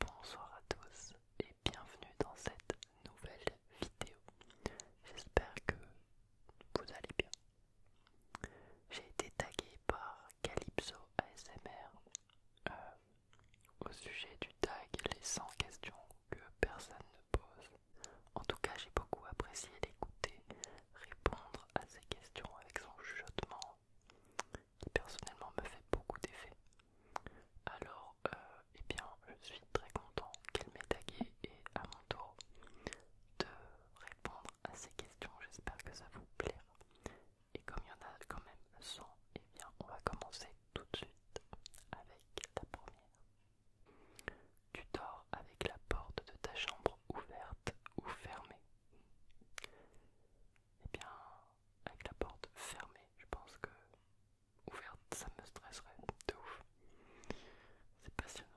Bonsoir à tous et bienvenue dans cette nouvelle vidéo. J'espère que vous allez bien. J'ai été tagué par Calypso ASMR euh, au sujet du tag Les 100 questions que personne ne pose. En tout cas, j'ai beaucoup apprécié l'écouter, répondre à ces questions avec son chuchotement personnellement me fait beaucoup d'effet. Alors, et euh, eh bien, je suis très content qu'elle m'ait tagué et à mon tour de répondre à ces questions. J'espère que ça vous plaira. Et comme il y en a quand même 100, et eh bien, on va commencer tout de suite avec la première. Tu dors avec la porte de ta chambre ouverte ou fermée et eh bien, avec la porte fermée, je pense que ouverte ça me stresserait de ouf. C'est passionnant.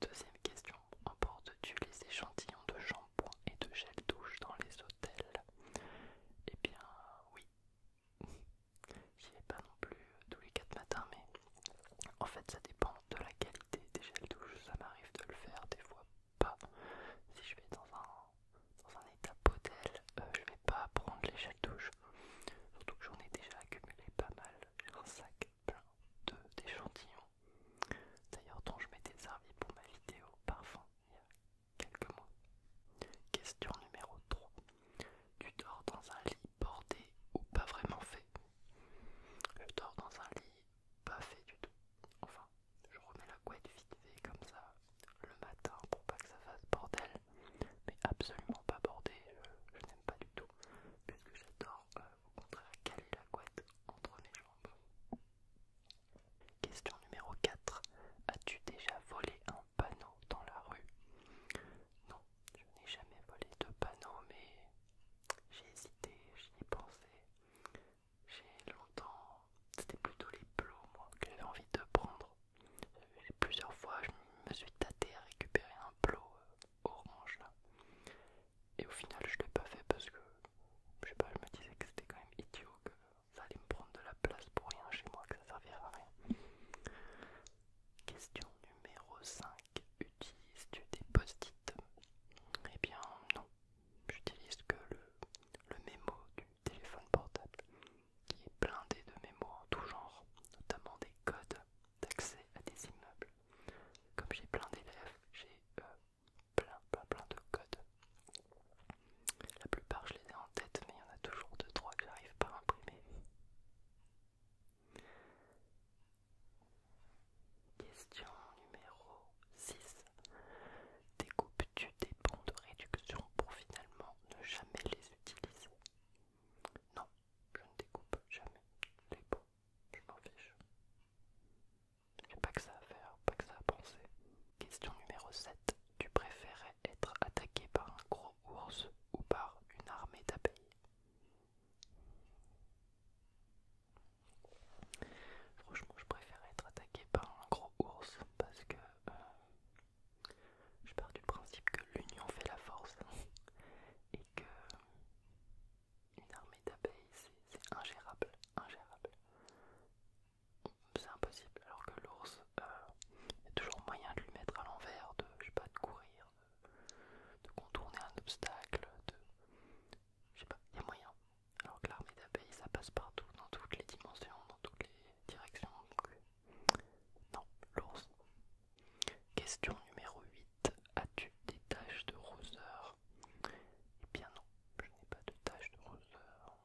Deuxième question, emportes-tu les échantillons de shampoing et de gel douche dans les hôtels Eh bien oui. J'y vais pas non plus euh, tous les 4 matins, mais en fait ça dépend de la qualité des gels douche. Ça m'arrive de le faire des fois pas. Si je vais dans un, dans un état potel, je euh, je vais pas prendre les l'échelle douche. Surtout que j'en ai déjà accumulé pas mal. J'ai un sac plein d'échantillons. D'ailleurs dont je m'étais servi pour ma vidéo parfum il y a quelques mois. Question numéro 3. Tu dors dans un lit bordé ou pas vraiment fait Je dors dans un lit pas fait du tout. Enfin, je remets la couette vite fait comme ça le matin pour pas que ça fasse bordel, mais absolument pas bordé, euh, je, n'aime pas du tout, puisque j'adore euh, au contraire caler la couette entre mes jambes. Question numéro 4. As-tu déjà volé un panneau dans la rue Non, je n'ai jamais volé de panneau, mais j'ai hésité, j'y ai pensé j'ai longtemps, c'était plutôt les plots moi que j'avais envie de prendre. plusieurs fois je me suis tâté à récupérer un plot euh, orange là. Et au final je l'ai pas fait parce que je sais pas, je me disais que c'était quand même idiot, que ça allait me prendre de la place pour rien chez moi, que ça servirait à rien. Question numéro 5. Utilises-tu des post-it Eh bien non, j'utilise que le, le mémo du téléphone portable qui est blindé de mémo en tout genre, notamment des codes d'accès à des immeubles. Comme j'ai plein d'élèves, j'ai euh, plein plein plein de codes. La plupart je les ai en tête, mais il y en a toujours deux trois que j'arrive pas à imprimer. Question numéro 6. Découpes-tu des bons de réduction pour finalement ne jamais les utiliser Non, je ne découpe jamais les bons, je m'en fiche. J'ai pas que ça à faire, pas que ça à penser. Question numéro 7. Tu préférais être attaqué par un gros ours ou par une armée d'abeilles Franchement, je préfère être attaqué par un gros ours parce que euh, je pars du principe que l'union fait la force et que une armée d'abeilles c'est ingérable, ingérable. C'est impossible. Alors que l'ours, euh, il y a toujours moyen de lui mettre à l'envers, de pas, de courir, de, de contourner un obstacle, de je sais pas, il y a moyen. Alors que l'armée d'abeilles, ça passe partout, dans toutes les dimensions, dans toutes les directions. Euh, non, l'ours. Question numéro 8. As-tu des taches de roseur Eh bien non, je n'ai pas de taches de roseur.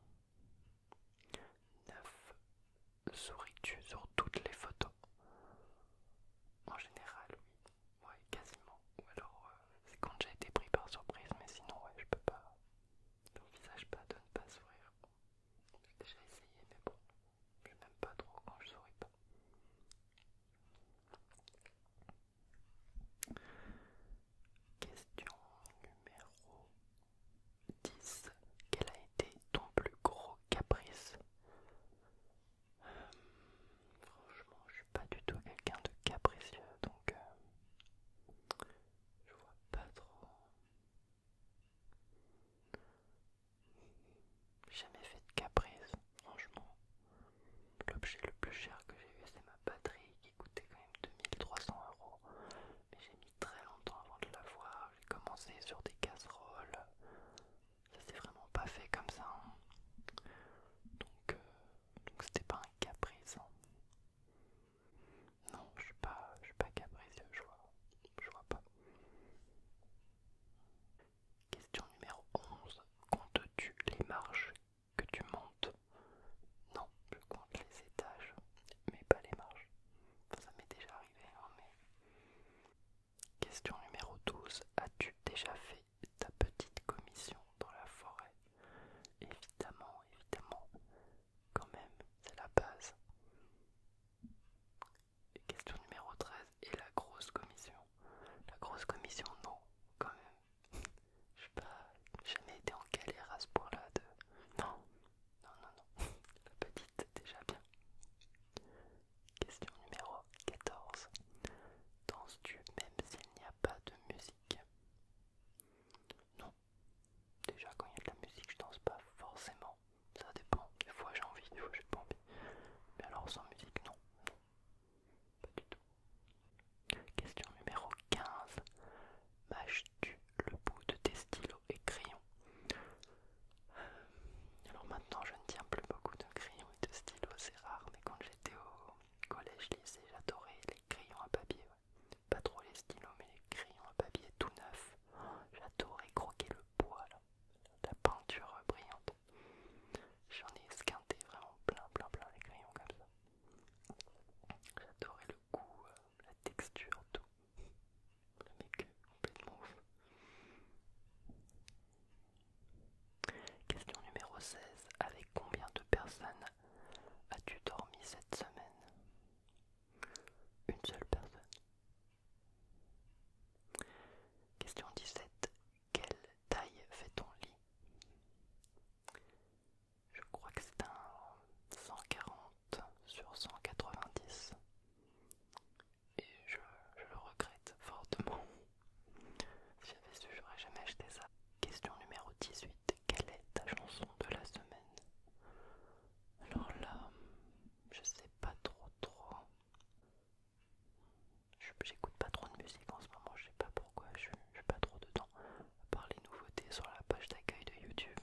9. Souris-tu sur toutes les photos En général, oui. Ouais, quasiment. Ou alors, euh, c'est quand j'ai été pris par surprise, mais sinon, ouais, je peux pas. J'envisage pas de ne pas sourire. J'ai déjà essayé, mais bon, je n'aime pas trop quand je souris pas. Question numéro 10. Quel a été ton plus gros caprice euh, franchement, je suis pas du tout quelqu'un de capricieux, donc euh, je vois pas trop. Jamais fait de caprice, franchement. L'objet le plus cher que j'ai eu, c'est ma batterie qui coûtait quand même 2300 euros. Mais j'ai mis très longtemps avant de l'avoir. J'ai commencé sur des casseroles. Ça s'est vraiment pas fait comme ça. Hein. Donc, euh, donc c'était pas un caprice. Non, je suis pas, je suis pas caprice, je vois, pas. Question numéro 11. Comptes-tu les marches que tu montes Non, je compte les étages, mais pas les marches. ça m'est déjà arrivé, hein, Question numéro 12. As-tu déjà fait ta petite commission dans la forêt. Évidemment, évidemment, quand même, c'est la base. question numéro 13, et la grosse commission La grosse commission, non, quand même. Je sais pas jamais été en galère à ce point-là de... Non, non, non, non. La petite, déjà bien. Question numéro 14. Danses-tu même s'il n'y a pas de musique non. Déjà, quand il y a de la musique, je danse pas forcément. Ça dépend. Des fois, j'ai envie, des fois, j'ai pas envie. Mais alors, sans musique, non. non. Pas du tout. Question numéro 15. Mâches-tu le bout de tes stylos et crayons alors maintenant je ne tiens plus beaucoup de crayons et de stylos, c'est rare, mais quand j'étais au, collège, lycée, j'adorais les crayons à papier. Pas trop les stylos, mais les crayons à papier tout neuf. J'adorais croquer le bois, la peinture brillante. J'en ai esquinté vraiment plein, plein, plein les crayons comme ça. J'adorais le goût, euh, la texture, tout. Le mec complètement ouf. Question numéro 16. Avec combien de personnes as-tu dormi cette semaine Une seule personne. Question 17. Quelle taille fait ton lit Je crois que c'est un 140 sur 190. Et je, je le regrette fortement. Si j'avais su, j'aurais jamais acheté ça. Question numéro 18. Quelle est ta chanson de la semaine Alors là, je sais pas trop trop. J'écoute pas trop de musique en ce moment, je sais pas pourquoi, je, pas trop de temps. À part les nouveautés sur la page d'accueil de YouTube,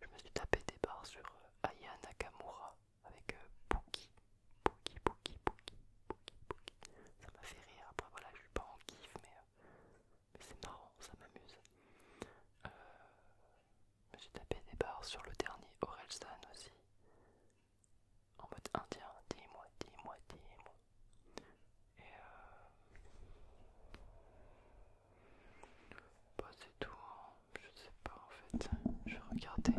je me suis tapé des barres sur euh, Aya Nakamura avec Bookie, euh, Boogie, Boogie, Boogie, ça m'a fait rire. Après, voilà, je suis pas en kiff, euh, mais, c'est marrant, ça m'amuse. Euh, J'ai tapé des barres sur le dernier Orelsan aussi, en mode indien, dis-moi, dis-moi, dis-moi. Et euh... Bah, c'est tout, hein. je sais pas en fait, je vais regarder.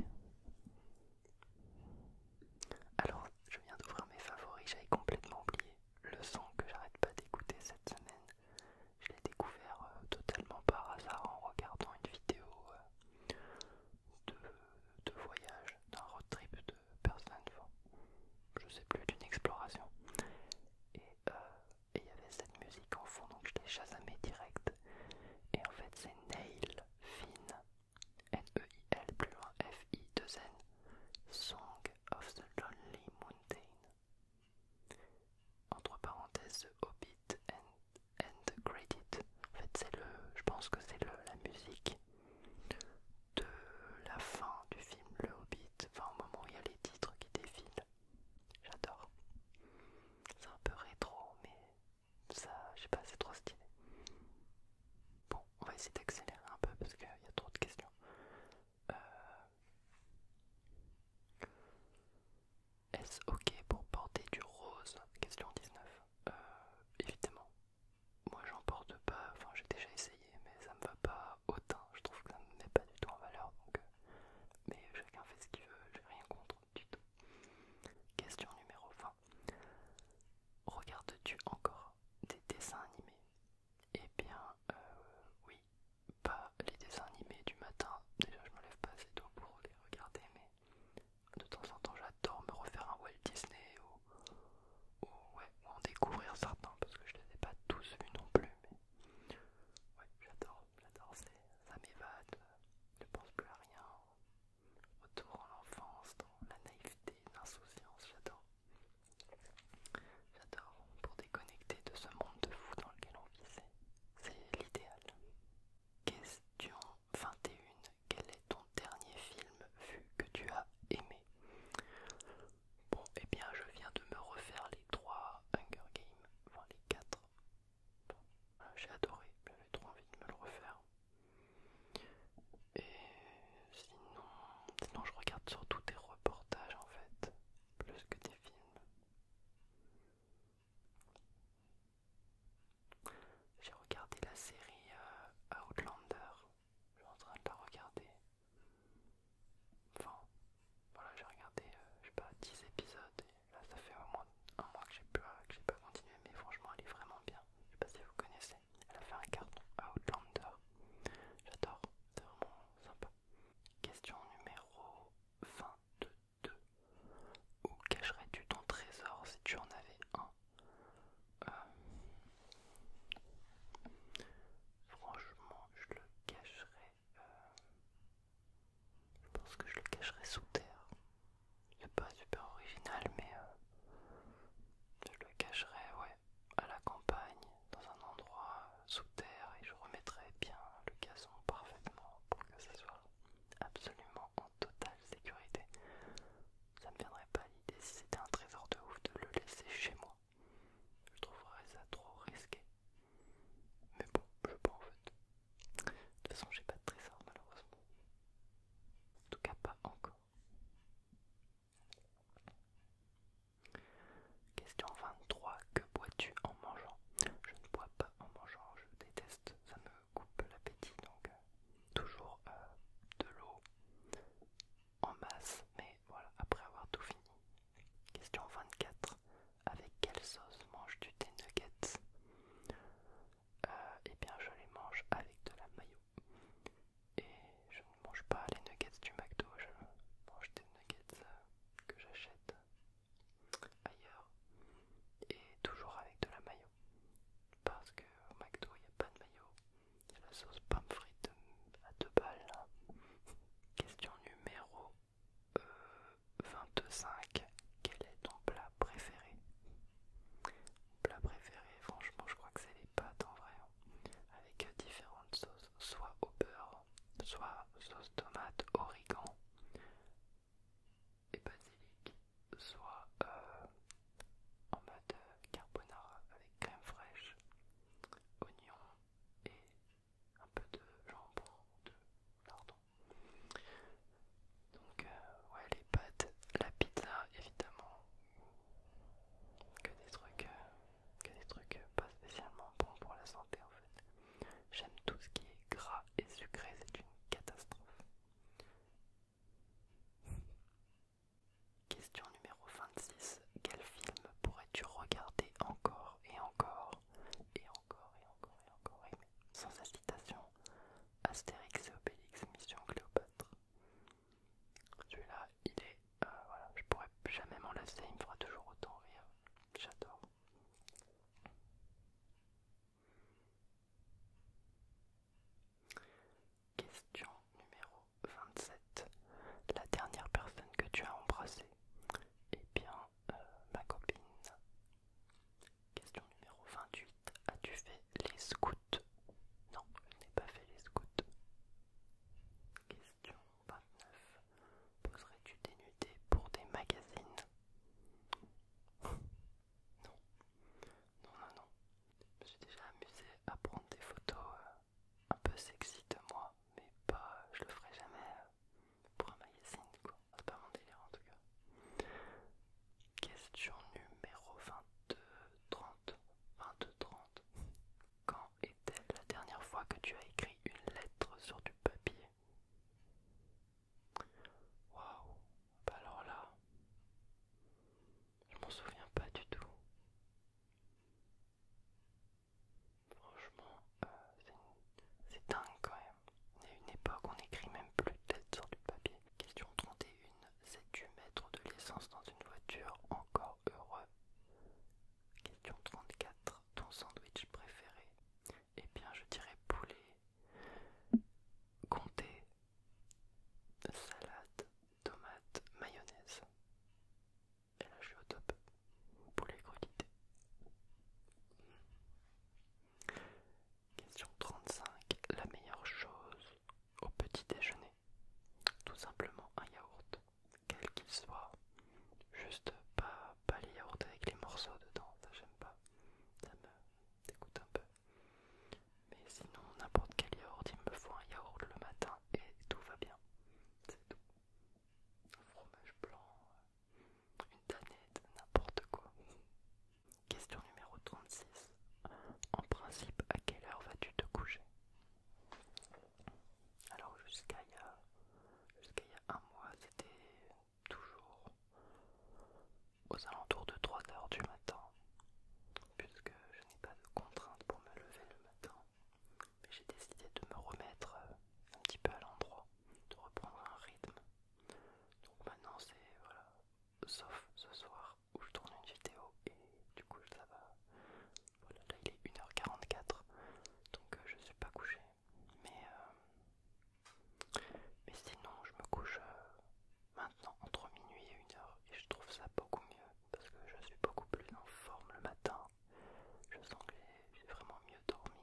Alors, je viens d'ouvrir mes favoris, j'avais complètement oublié le son que j'arrête pas d'écouter cette semaine. Je l'ai découvert euh, totalement par hasard en regardant une vidéo euh, de, voyage, d'un road trip de personne. enfin, je sais plus, d'une exploration. Euh, et il y avait cette musique en fond, donc je l'ai chasamé direct. Et en fait, c'est Nail Finn N-E-I-L plus loin F-I-2-N, Song of the Lonely Mountain. Entre parenthèses, The Hobbit and, and the En fait, c'est le, je pense que c'est la musique de la fin du film Le Hobbit, enfin au moment où il y a les titres qui défilent. J'adore. C'est un peu rétro, mais ça, je sais pas, c'est trop stylé. Bon, on va essayer d'accélérer un peu parce qu'il y a trop de questions. Euh, est-ce ok pour porter du rose Question 19. Euh, évidemment. Moi j'en porte pas, enfin j'ai déjà essayé mais ça me va pas autant, je trouve que ça me met pas du tout en valeur donc... Euh, mais chacun fait ce qu'il veut, j'ai rien contre du tout. Question numéro 20. Regardes-tu encore des dessins animés Eh bien, euh, oui, pas les dessins animés du matin. Déjà, je me lève pas assez tôt pour les regarder, mais de temps en temps, j'adore me refaire un Walt Disney ou, ou en découvrir certains parce que je les ai pas tous vus non plus. Mais j'adore, ça m'évade, euh, je pense plus à rien. Autour de enfance, dans la naïveté, l'insouciance, j'adore. J'adore pour déconnecter de ce monde de fou dans lequel on vit, c'est l'idéal. Question 21. Quel est ton dernier film vu que tu as aimé Bon, et eh bien je viens de me refaire les trois Hunger Games, enfin les 4. j'ai adoré, j'avais trop envie de me le refaire. Et sinon, sinon je regarde surtout des reportages en fait, plus que des films. J'ai regardé la série euh, Outlander, je suis en train de la regarder. Enfin, voilà, j'ai regardé, euh, pas, 10 épisodes, et là ça fait au moins un mois que j'ai pas, pas continué, mais franchement elle est vraiment bien. Je sais pas si vous connaissez. Elle a fait un carton à Outlander. J'adore, c'est vraiment sympa. Question numéro 22. Où cacherais-tu ton trésor si tu en avais un euh, Franchement, je le cacherais. Euh, je pense que je le cacherais sous terre. C'est pas super original, mais euh, je le cacherai, ouais, à la campagne, dans un endroit sous terre, et je remettrai bien le gazon parfaitement pour que ça soit absolument en totale sécurité. Ça me viendrait pas l'idée si c'était un trésor de ouf de le laisser chez moi. Je trouverais ça trop risqué. Mais bon, je peux en fait. De toute façon, j'ai pas de trésor malheureusement. En tout cas, pas encore. Question 23. Que bois-tu en mangeant Je ne bois pas en mangeant, je déteste, ça me coupe l'appétit. Donc euh, toujours euh, de l'eau en masse, mais voilà, après avoir tout fini. Question 24. Avec quelle sauce manges-tu tes nuggets et euh, eh bien je les mange avec de la mayo. Et je ne mange pas les nuggets du McDo, je mange des nuggets euh, que j'achète ailleurs et toujours avec de la mayo. Parce que au McDo il n'y a pas de maillot il la sauce pomme frite euh, à deux balles. Question numéro 25. Quel est ton plat préféré mon Plat préféré, franchement, je crois que c'est les pâtes en vrai, hein. avec différentes sauces, soit au beurre, soit sauce tomate, origan et basilic, soit euh, en mode carbonara avec crème fraîche, oignon et un peu de jambon de lardon. Donc, euh, ouais, les pâtes, la pizza, évidemment. Que des trucs, euh, que des trucs euh, pas spécialement bons pour la santé en fait. J'aime tout ce qui est gras et sucré, c'est une catastrophe. Question numéro 26. Quel film pourrais-tu regarder encore et encore et encore et encore et encore Sans incitation, Astérix et Obélix, Mission Cléopâtre. Celui-là, il est. Euh, voilà, je pourrais jamais m'en lasser, il me fera toujours autant rire. J'adore. Question numéro 27. La dernière personne que tu as embrassée Eh bien, euh, ma copine. Question numéro 28. As-tu fait les scouts Non, je n'ai pas fait les scouts. Question 29. Poserais-tu dénuder pour des magazines Non. Non, non, non. Je me suis déjà amusé à prendre des photos euh, un peu sexy de moi, mais pas. Je le ferai jamais euh, pour un magazine, quoi. C'est pas mon délire en tout cas. Question numéro 22, 30, Quand est-elle la dernière fois que tu as écrit une lettre sur du papier Waouh, bah alors là, je m'en souviens pas du tout. Franchement, euh, c'est dingue quand même. Il y a une époque, où on n'écrit même plus de lettres sur du papier. Question 31. Sais-tu mettre de l'essence dans une voiture encore heureux Question 34. Ton sandwich préféré Eh bien, je dirais poulet, comté, salade, tomate, mayonnaise. Et là, je suis au top. Poulet crudité. Question 35. La meilleure chose au petit déjeuner. Tout simplement un yaourt, quel qu'il soit. Juste pas, les yaourts avec les morceaux dedans, ça j'aime pas. Ça me dégoûte un peu. Mais sinon, n'importe quel yaourt, il me faut un yaourt le matin et tout va bien. C'est tout. Un fromage blanc, une danette, n'importe quoi. Question numéro 36. En principe, à quelle heure vas-tu te coucher Alors jusqu'à il, y a un mois, c'était toujours aux alentours de 3 heures du matin, puisque je n'ai pas de contrainte pour me lever le matin. Mais j'ai décidé de me remettre euh, un petit peu à l'endroit, de reprendre un rythme. Donc maintenant c'est voilà, sauf ce soir où je tourne une vidéo et du coup ça va. Voilà, là il est 1h44 donc euh, je suis pas couché. Mais, euh, sinon je me couche euh, maintenant entre minuit et 1h et je trouve ça beaucoup mieux parce que je suis beaucoup plus en forme le matin. Je sens que j'ai vraiment mieux dormi.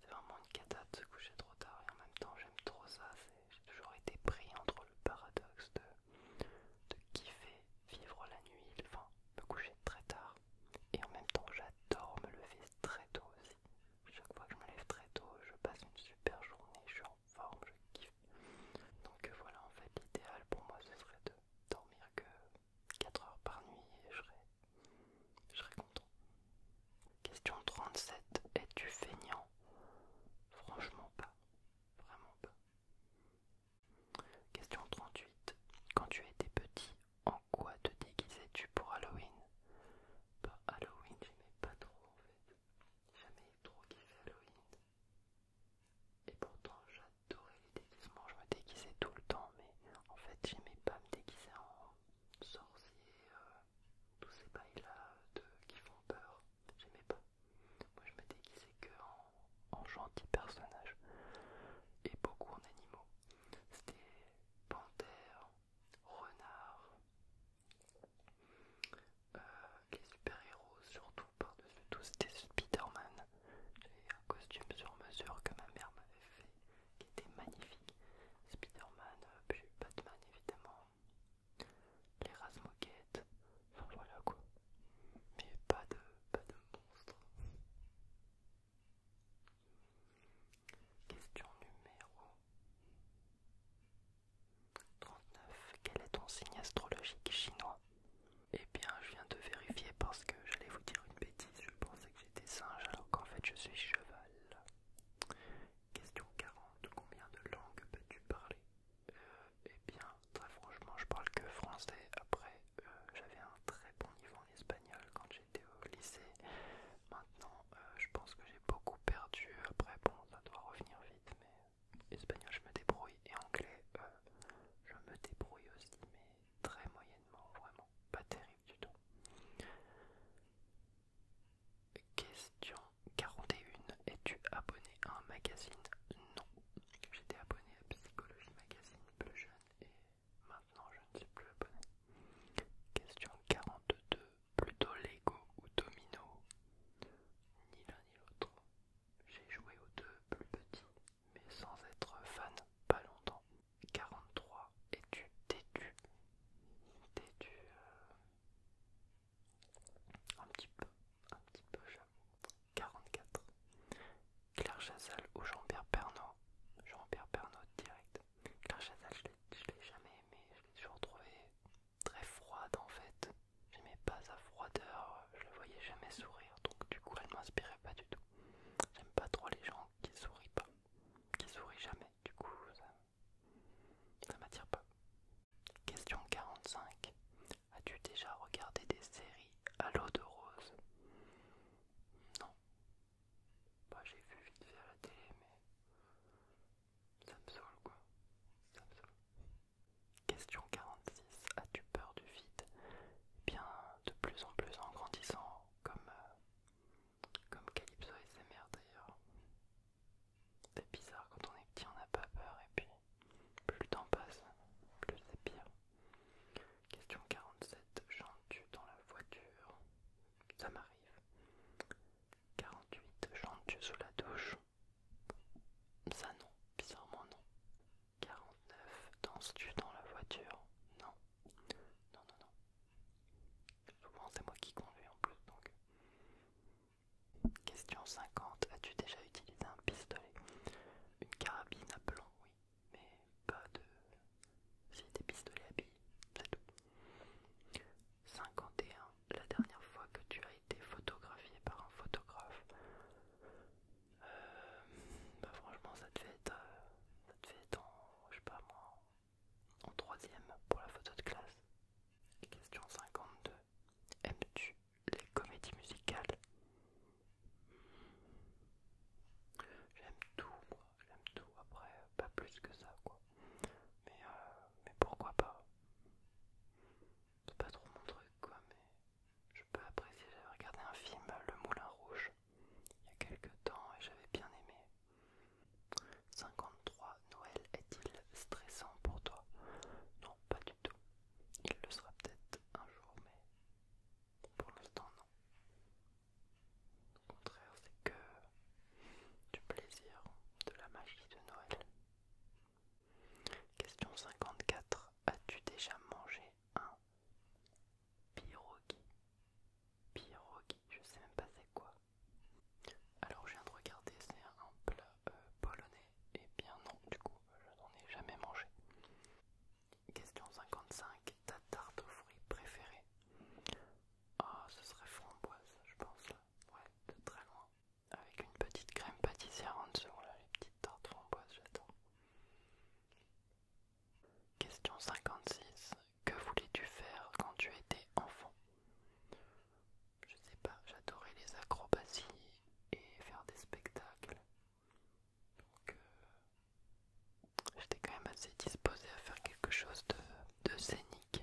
C'est vraiment une cata de se coucher trop tard et en même temps j'aime trop ça j'ai toujours été pris entre le paradoxe de, kiffer vivre la nuit, enfin me coucher très tard, et en même temps j'adore me lever très tôt aussi. Chaque fois que je me lève très tôt, je passe une super journée, je suis en forme, je kiffe. Donc euh, voilà, en fait l'idéal pour moi ce serait de dormir que 4 heures par nuit et je serais content. Question 37. Es-tu feignant Franchement pas. Vraiment pas. Question 38. Quand tu étais petit, en quoi te déguisais-tu pour Halloween Bah Halloween, j'aimais pas trop en fait. Jamais trop Halloween. Et pourtant j'adorais les déguisements, je me déguisais tout le temps, mais en fait j'aimais pas me déguiser en sorcier, euh, tous ces bails là qui font peur, j'aimais pas. Moi je me déguisais que en, gentils gentil personnage et beaucoup en animaux. C'était panthère, renard, euh, les super-héros surtout par-dessus tout, c'était Spider-Man. J'avais un costume sur mesure que ma mère m'avait fait qui était magnifique. Spider-Man, euh, puis Batman évidemment, les ras moquettes, enfin voilà quoi. Mais pas de, pas de monstre. Question numéro 39. Quel est ton signe astrologique chinois Eh bien, je viens de vérifier parce que j'allais vous dire une bêtise. Je pensais que j'étais singe alors qu'en fait je suis cheval. Question 40. Combien de langues peux-tu parler euh, Eh bien, très franchement, je parle que français. Après, euh, j'avais un très bon niveau en espagnol quand j'étais au lycée. Maintenant, euh, je pense que j'ai beaucoup perdu. Après, bon, ça doit revenir vite, mais espagnol, je me débrouille. Et anglais, je me débrouille aussi, mais très moyennement, vraiment. Pas terrible du tout. Question 41. Es-tu abonné à un magazine Non. J'étais abonné à Psychologie Magazine plus jeune et maintenant je ne suis plus abonné. Question 42. Plutôt Lego ou Domino Ni l'un ni l'autre. J'ai joué aux deux plus petits, mais sans être fan, pas longtemps. 43. Es-tu têtu Têtu euh, un petit peu, un petit peu j'aime 44. Claire Chazal ou Jean-Pierre Pernaut Jean-Pierre Pernaut, direct. Claire Chazal, je l'ai jamais aimé, je l'ai toujours trouvé très froide en fait. n'aimais pas sa froideur, je la voyais jamais sourire, donc du coup elle ne m'inspirait pas du tout. J'aime pas trop les gens qui sourient pas, qui sourient jamais, du coup ça m'attire pas. Question 45. As-tu déjà regardé des séries à l'eau de rose Non. Bah, j'ai vu vite fait à la télé, mais ça me saoule quoi. Question 46. As-tu peur du vide eh Bien, de plus en plus en grandissant, comme, euh, comme Calypso SMR d'ailleurs. C'est bizarre, quand on est petit, on n'a pas peur, et puis plus le temps passe, plus c'est pire. Question 47. Chantes-tu dans la voiture Ça m'arrive. 48. Chantes-tu sous la douche Ça non, bizarrement non. 49. Danses-tu dans la voiture Non. Non, non, non. Souvent c'est moi qui conduis en plus, donc Question 50. As-tu déjà utilisé un pistolet Une carabine à plomb, oui, mais pas de. Si des pistolets à billes, c'est tout. 51. La dernière fois que tu as été photographié par un photographe euh, bah Franchement, ça te fait... Euh, ça te être en. Je sais pas moi en troisième pour la photo de classe. Question 52. Aimes-tu les comédies musicales J'aime tout, moi. J'aime tout. Après, pas plus que ça, quoi. Mais, euh, mais pourquoi pas C'est pas trop mon truc, quoi. Mais je peux apprécier. J'avais regardé un film, Le Moulin Rouge, il y a quelques temps et j'avais bien aimé. 53. Noël est-il stressant pour toi Non, pas du tout. Il le sera peut-être un jour, mais pour l'instant non. Au contraire, c'est que du plaisir, de la magie de Noël. Question 54. As-tu déjà mangé un Pirogui Pirogui, je sais même pas c'est quoi. Alors je viens de regarder, c'est un plat euh, polonais. Et eh bien non, du coup, je n'en ai jamais mangé. Question 55. Ta tarte aux fruits préférée Ah, ce serait framboise, je pense là. Ouais, de très loin. Avec une petite crème pâtissière en dessous, là, les petites tartes framboises, j'adore. Question 56. Que voulais-tu faire quand tu étais enfant je sais pas, j'adorais les acrobaties et faire des spectacles. Donc euh, j'étais quand même assez disposée à faire quelque chose de, scénique.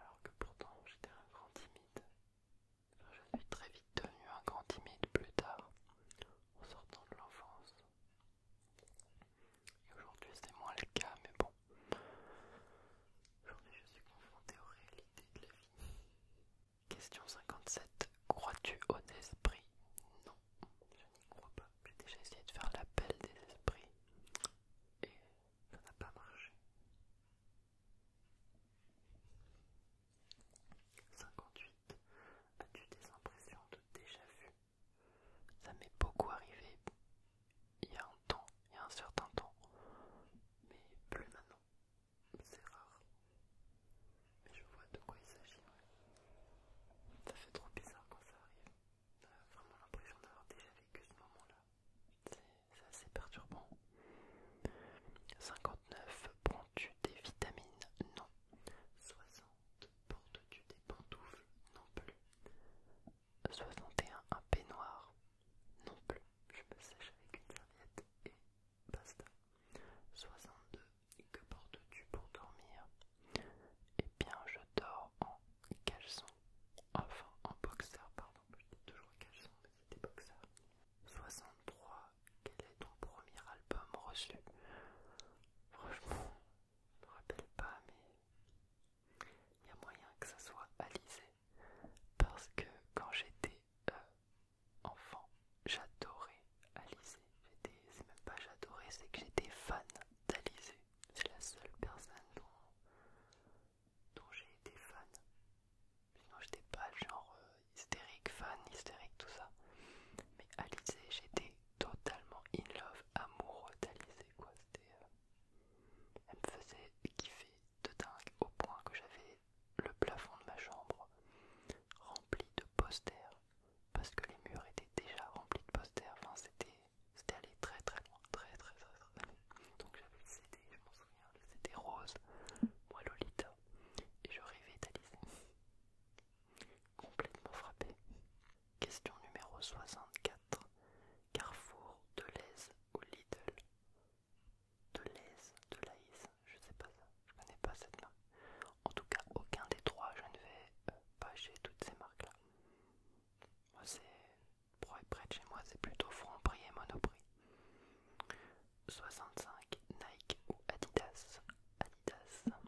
alors que pourtant j'étais un grand timide. je suis très vite devenu un grand timide plus tard, en sortant de l'enfance. Et aujourd'hui c'est moins le cas, mais bon. Aujourd'hui je suis confronté aux réalités de la vie. Question 57. Crois-tu aux esprits Non, je n'y crois pas. J'ai déjà essayé de faire l'appel des esprits et ça n'a pas marché. 58. As-tu des impressions de déjà vu ça m'est beaucoup arrivé il y a un temps, il y a un certain temps, mais plus maintenant. C'est rare. Mais je vois de quoi il s'agit. Ça fait trop bizarre quand ça arrive. On vraiment l'impression d'avoir déjà vécu ce moment-là. C'est assez perturbant. 59. Prends-tu des vitamines Non. 60. Portes-tu des pantoufles Non plus. 61, un peignoir non plus, je me sèche avec une serviette et basta. 62, que portes-tu pour dormir et eh bien, je dors en caleçon, enfin en boxer, pardon, je dis toujours caleçon, mais c'était boxer. 63, quel est ton premier album reçu Franchement, je me rappelle pas, mais il y a moyen que ça soit Alizé, parce que quand j'étais euh, enfant, j'adorais Alizé. C'est même pas j'adorais, c'est que j'étais fan d'Alizé. C'est la seule personne dont, j'ai été fan. Sinon, j'étais pas genre euh, hystérique, fan, hystérique, tout ça. Mais Alizé, j'étais totalement in love, amoureux d'Alizé, quoi. Euh, elle me faisait kiffer de dingue au point que j'avais le plafond de ma chambre rempli de posters parce que les murs étaient déjà remplis de posters. Enfin, c'était allé très très loin, très très très très loin. Donc j'avais le CD, je m'en souviens, le CD rose, moi Lolita, et je rêvais Complètement frappé. Question numéro 64. Carrefour, Deleuze ou Lidl Deleuze, Deleuze, je sais pas ça, je connais pas cette marque. En tout cas, aucun des trois, je ne vais euh, pas chez toutes ces marques-là. Moi, c'est près de chez moi, c'est plutôt Franprix et Monoprix. 65. Nike ou Adidas Adidas.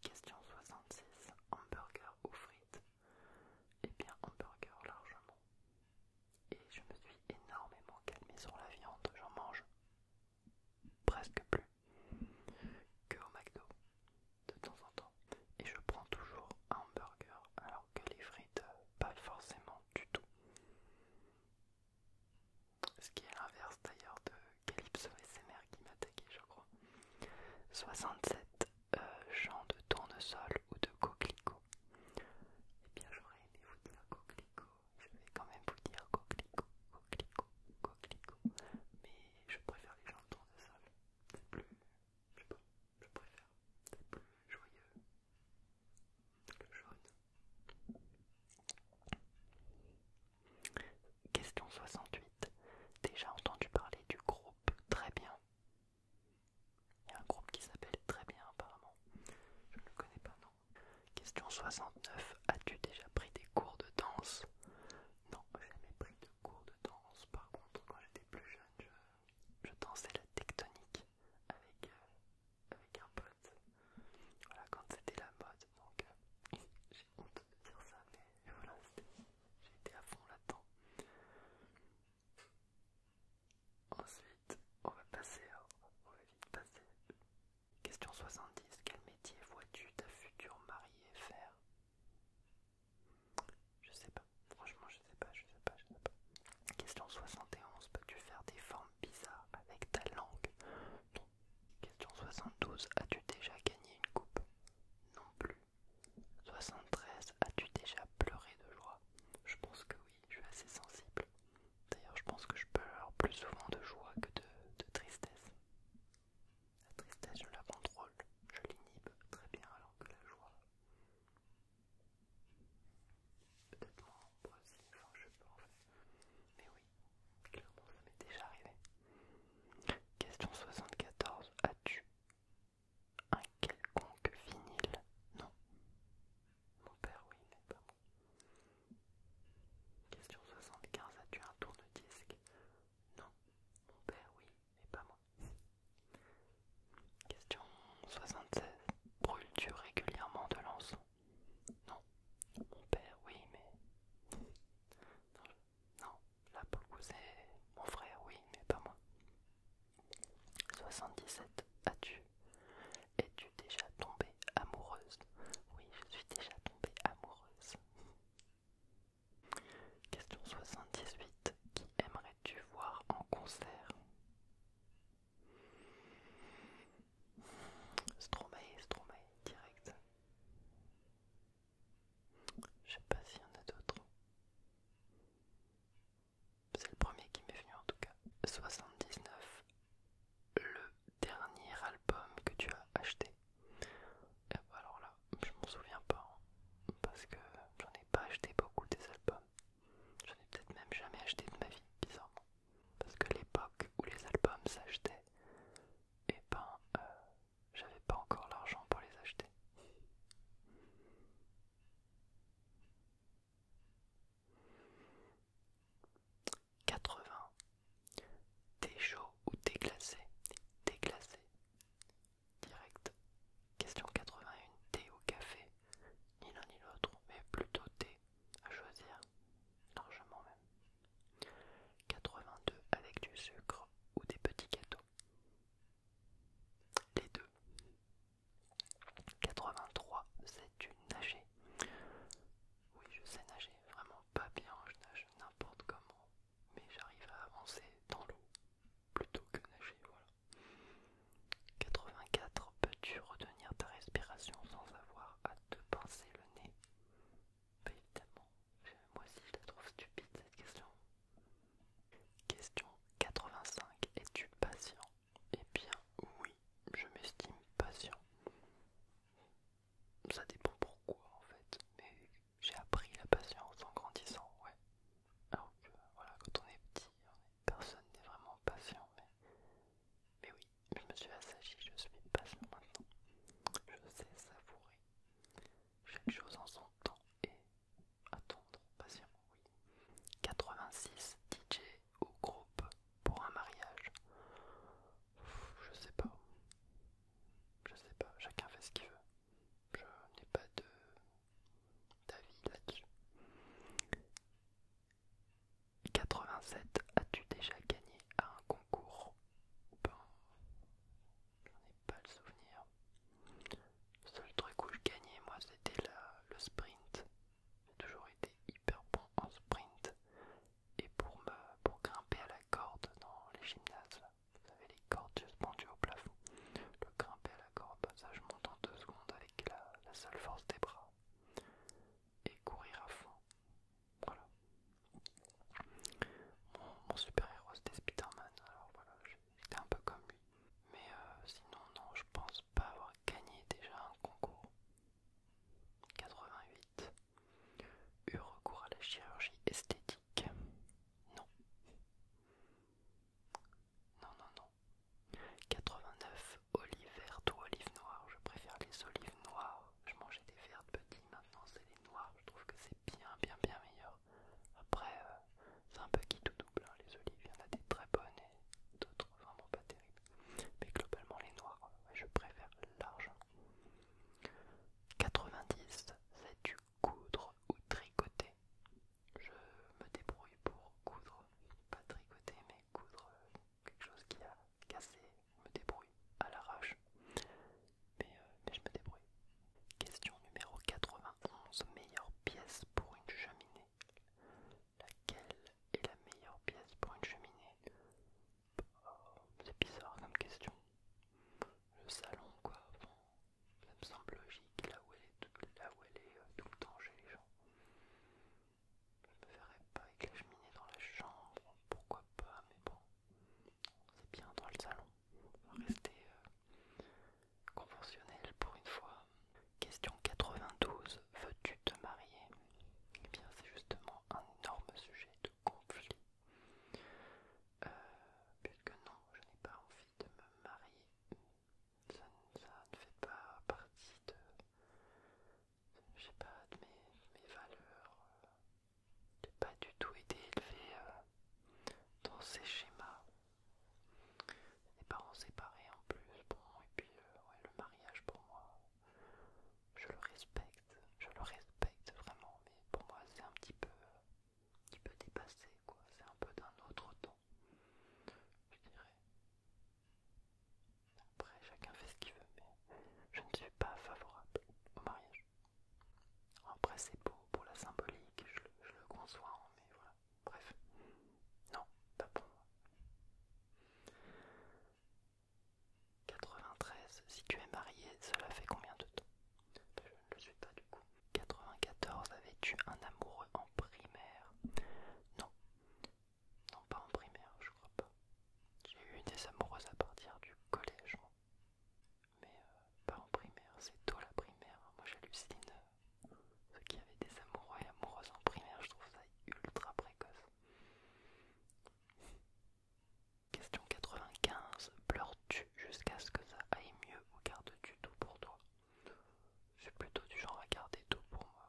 Question 66. Hamburger ou frites et eh bien, hamburger largement. Et je me suis énormément calmée sur la viande, j'en mange presque plus que au McDo de temps en temps. Et je prends toujours un hamburger alors que les frites, pas forcément du tout. Ce qui est l'inverse d'ailleurs de Calypso SMR qui m'attaquait, je crois. 67 Jean euh, de tournesol ou de coquelicot Eh bien, j'aurais aimé vous dire coquelicot. Je vais quand même vous dire coquelicot, coquelicot, coquelicot. Mais je préfère les gens de tournesol. C'est plus. Je sais pas, je préfère. C'est plus joyeux. Le jaune. Question 68. Déjà entendu parler du gros Très Bien. Il y a un groupe qui s'appelle Très Bien apparemment. Je ne le connais pas, non. Question 69. As-tu déjà pris des cours de danse Non, j'ai jamais pris de cours de danse. Par contre, quand j'étais plus jeune, je, dansais la tectonique avec, euh, avec un pote. Voilà, quand c'était la mode. Donc, euh, j'ai honte de dire ça, mais voilà, c'était j'étais à fond là-dedans. Ensuite, on va passer à... On va vite passer. Question 70. Quel métier vois-tu ta future mariée faire Je sais pas. Franchement, je sais pas, je sais pas, je sais pas. Question 71. Peux-tu faire des formes bizarres avec ta langue Non. Question 72. As-tu déjà gagné une coupe Non plus. 73, as-tu déjà pleuré de joie Je pense que oui, je suis assez sensible. D'ailleurs, je pense que je pleure plus souvent de joie que de, tristesse. La tristesse, je la contrôle, je l'inhibe très bien, alors que la joie, peut-être moins aussi, enfin, je peux en fait. Mais oui, clairement, ça m'est déjà arrivé. Question 74, as-tu un quelconque vinyle. Non. Mon père, oui, mais pas moi. Question 75. As-tu un tourne-disque Non. Mon père, oui, mais pas moi. Question 76. Brûles-tu régulièrement de l'encens Non. Mon père, oui, mais. Non. non. La pour c'est mon frère, oui, mais pas moi. 77. As-tu Es-tu déjà tombée amoureuse Oui, je suis déjà tombée amoureuse. Question 78. Qui aimerais-tu voir en concert Stromae, Stromae, direct. Je sais pas s'il y en a d'autres. C'est le premier qui m'est venu en tout cas. 79. Le dernier album que tu as acheté. Bah alors là, je m'en souviens pas. Hein, parce que j'en ai pas acheté beaucoup des albums. J'en ai peut-être même jamais acheté de ma vie, bizarrement. Parce que l'époque où les albums s'achetaient, et eh ben euh, j'avais pas encore l'argent pour les acheter. 80. Thé chaud ou thé glacé Thé glacé. Direct. Question 81. Thé ou café Ni l'un ni l'autre, mais plutôt thé à choisir. Largement même. 82. Avec du sucre ou des petits gâteaux les deux. 83, c'est une nager. Oui, je sais nager, vraiment pas bien, je nage n'importe comment, mais j'arrive à avancer dans l'eau plutôt que nager, voilà. 84, peux-tu retenir ta respiration sans avoir à te pincer le nez évidemment, moi aussi je la trouve stupide cette question. Question 85. Es-tu patient Eh bien oui, je m'estime patient. Ça dépend pourquoi en fait, mais j'ai appris la patience en grandissant, ouais. Alors que voilà, quand on est petit, personne n'est vraiment patient, mais, mais oui, je me suis assagi, je suis patient maintenant. Je sais savourer chaque chose en son temps et attendre patiemment, oui. 86 DJ au groupe pour un mariage. Je sais pas. Je sais pas, chacun fait ce qu'il veut. Je n'ai pas de d'avis là-dessus. 87 As-tu déjà gagné à un concours pas j'en ai pas le souvenir. Le seul truc où je gagnais, moi, c'était le sprint. J'ai toujours été hyper bon en sprint. Et pour, me, pour grimper à la corde dans les gymnases, vous avez les cordes suspendues au plafond. Le grimper à la corde, ça je monte en deux secondes avec la, la seule force des bras. Et courir à fond. Voilà. Mon, super-héros c'était Spiderman. alors voilà, j'étais un peu comme lui. Mais euh, sinon, non, je pense pas avoir gagné déjà un concours. 88. Eu recours à la chirurgie esthétique. Non. Non, non, non. 89. Olive verte ou olive noire. Je préfère les olives noires. Je mangeais des vertes petites, maintenant c'est les noires. Je trouve que c'est bien bien bien meilleur. Après euh, c'est un peu qui tout double, hein. les olives, il y en a des très bonnes et d'autres vraiment pas terribles. Mais globalement les noirs, euh, je préfère large. 90, c'est du coudre ou tricoter Je me débrouille pour coudre, pas tricoter mais coudre euh, quelque chose qui a cassé, je me débrouille à l'arrache. Euh, mais, je me débrouille. Question numéro 91, meilleure pièce pour une cheminée. Laquelle est la meilleure pièce pour une cheminée oh, C'est bizarre comme question. Le salon quoi, ça me semble logique, là où elle est tout, là où elle est, euh, le temps chez les gens. Je me verrais pas avec la cheminée dans la chambre, pourquoi pas, mais bon. C'est bien dans le salon. On rester euh, conventionnel pour une fois. Question 92. Veux-tu te marier Eh bien, c'est justement un énorme sujet de conflit. Euh, puisque non, je n'ai pas envie de me marier. Ça, ne fait pas partie de, je sais pas, de mes valeurs. Euh, de pas du tout été élevé euh, dans ces schémas. Les parents séparés en plus, bon, et puis euh, le mariage pour moi, je le respecte, je le respecte vraiment, mais pour moi c'est un petit peu, un peu dépassé, quoi. C'est un peu d'un autre temps, je dirais. Après, chacun fait ce qu'il veut, mais je ne suis pas favorable au mariage. Après, c'est beau pour la symbolique, je le, conçois, hein, mais voilà. Bref, non, pas pour moi. 93, si tu es marié, cela fait combien de temps ben, Je ne le suis pas du coup. 94, avais-tu un amoureux en primaire Non, non, pas en primaire, je crois pas. J'ai eu des amoureuses à partir du collège mais euh, pas en primaire, c'est tôt la primaire. Moi j'hallucine euh, ceux qui avaient des amoureux et amoureuses en primaire, je trouve ça ultra précoce. Question 95. Pleures-tu jusqu'à ce que ça aille mieux ou gardes-tu tout pour toi C'est plutôt du genre à garder tout pour moi.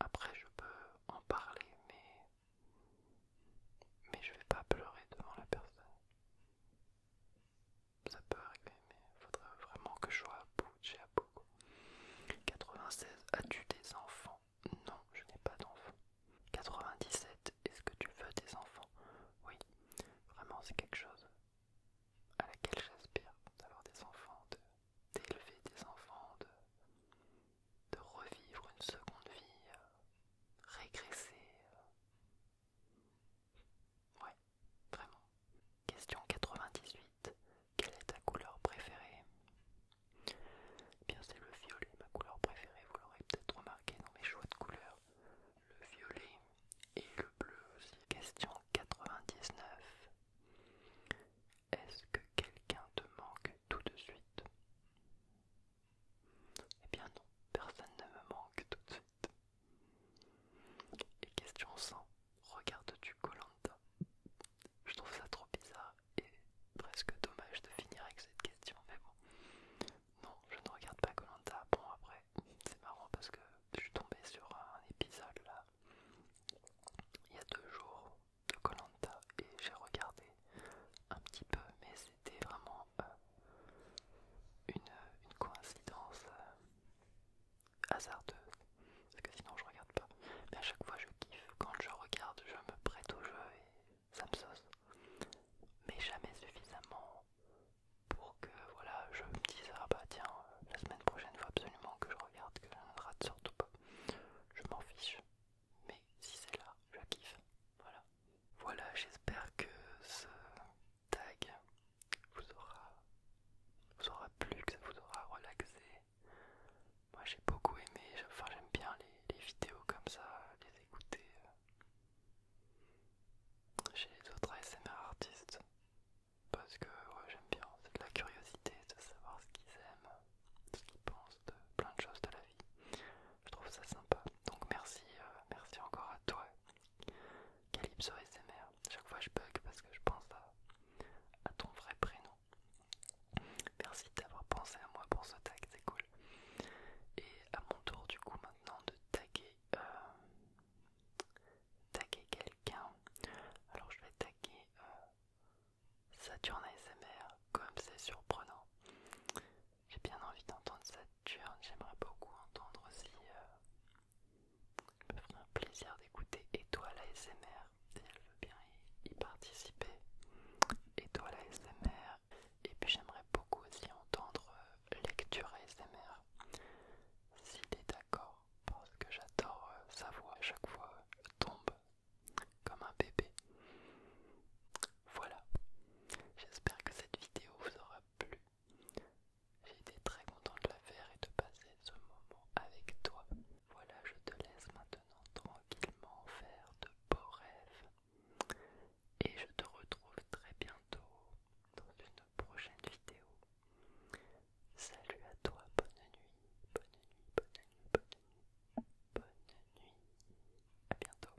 Après, je peux en parler, mais. Mais je vais pas pleurer devant la personne ça peut arriver, mais il faudrait vraiment que je sois à bout, j'ai à bout. 96, as-tu des enfants Non, je n'ai pas d'enfants. 97, est-ce que tu veux des enfants Oui, vraiment, c'est quelque chose à laquelle j'aspire, d'avoir des enfants, d'élever des enfants, de, revivre une seconde vie, euh, régresser, euh, Ouais, vraiment. Question 98. Quelle est ta couleur préférée Bien, c'est le violet, ma couleur préférée. Vous l'aurez peut-être remarqué dans mes choix de couleurs. Le violet et le bleu aussi. Question 99. Est-ce que quelqu'un te manque tout de suite eh bien non, personne ne me manque tout de suite. Et question 100, regardes-tu Colanta Je trouve ça trop bizarre et presque dommage de finir avec cette question, mais bon. Non, je ne regarde pas Colanta. Bon après, c'est marrant parce que je suis tombé sur un épisode là, il y a deux jours de Colanta et j'ai regardé un petit peu, mais c'était vraiment une, coïncidence euh, hasardeuse, parce que sinon je regarde pas. Mais à chaque fois je kiffe, quand je regarde, je me prête au jeu et ça me sauce. Mais jamais suffisamment pour que voilà, je me dise ah bah tiens, la semaine prochaine faut absolument que je regarde, que je ne rate surtout pas. Je m'en fiche, mais si c'est là, je kiffe, voilà. Voilà, j'espère que ce tag vous aura, vous aura plu, que ça vous aura relaxé. Moi j'ai beaucoup aimé, enfin j'aime bien les, vidéos comme ça, les écouter euh, chez les autres ASMR artistes. Parce que j'aime bien, c'est de la curiosité de savoir ce qu'ils aiment, ce qu'ils pensent de plein de choses de la vie. Je trouve ça sympa. Donc merci, euh, merci encore à toi, Calypso SMR. Chaque fois je bug parce que je pense à, ton vrai prénom. Merci d'avoir pensé à moi pour ce tag, c'est cool. Et à mon tour du coup maintenant de taguer, euh, taguer quelqu'un. Alors je vais taguer euh, Saturne comme c'est surprenant. J'ai bien envie d'entendre Saturne, j'aimerais beaucoup entendre aussi. Euh, ça me ferait un plaisir d'écouter Étoile ASMR si elle veut bien y, Et participer. Étoile S.M.R. Et puis j'aimerais beaucoup aussi entendre euh, Lecture ASMR s'il est d'accord, parce que j'adore euh, sa voix à chaque fois elle tombe comme un bébé. Voilà, j'espère que cette vidéo vous aura plu. J'ai été très content de la faire et de passer ce moment avec toi. Voilà, je te laisse maintenant tranquillement faire de beaux rêves. Et je te retrouve très bientôt dans une prochaine vidéo. Salut à toi, bonne nuit, bonne nuit, bonne nuit, bonne nuit, bonne nuit. A bientôt.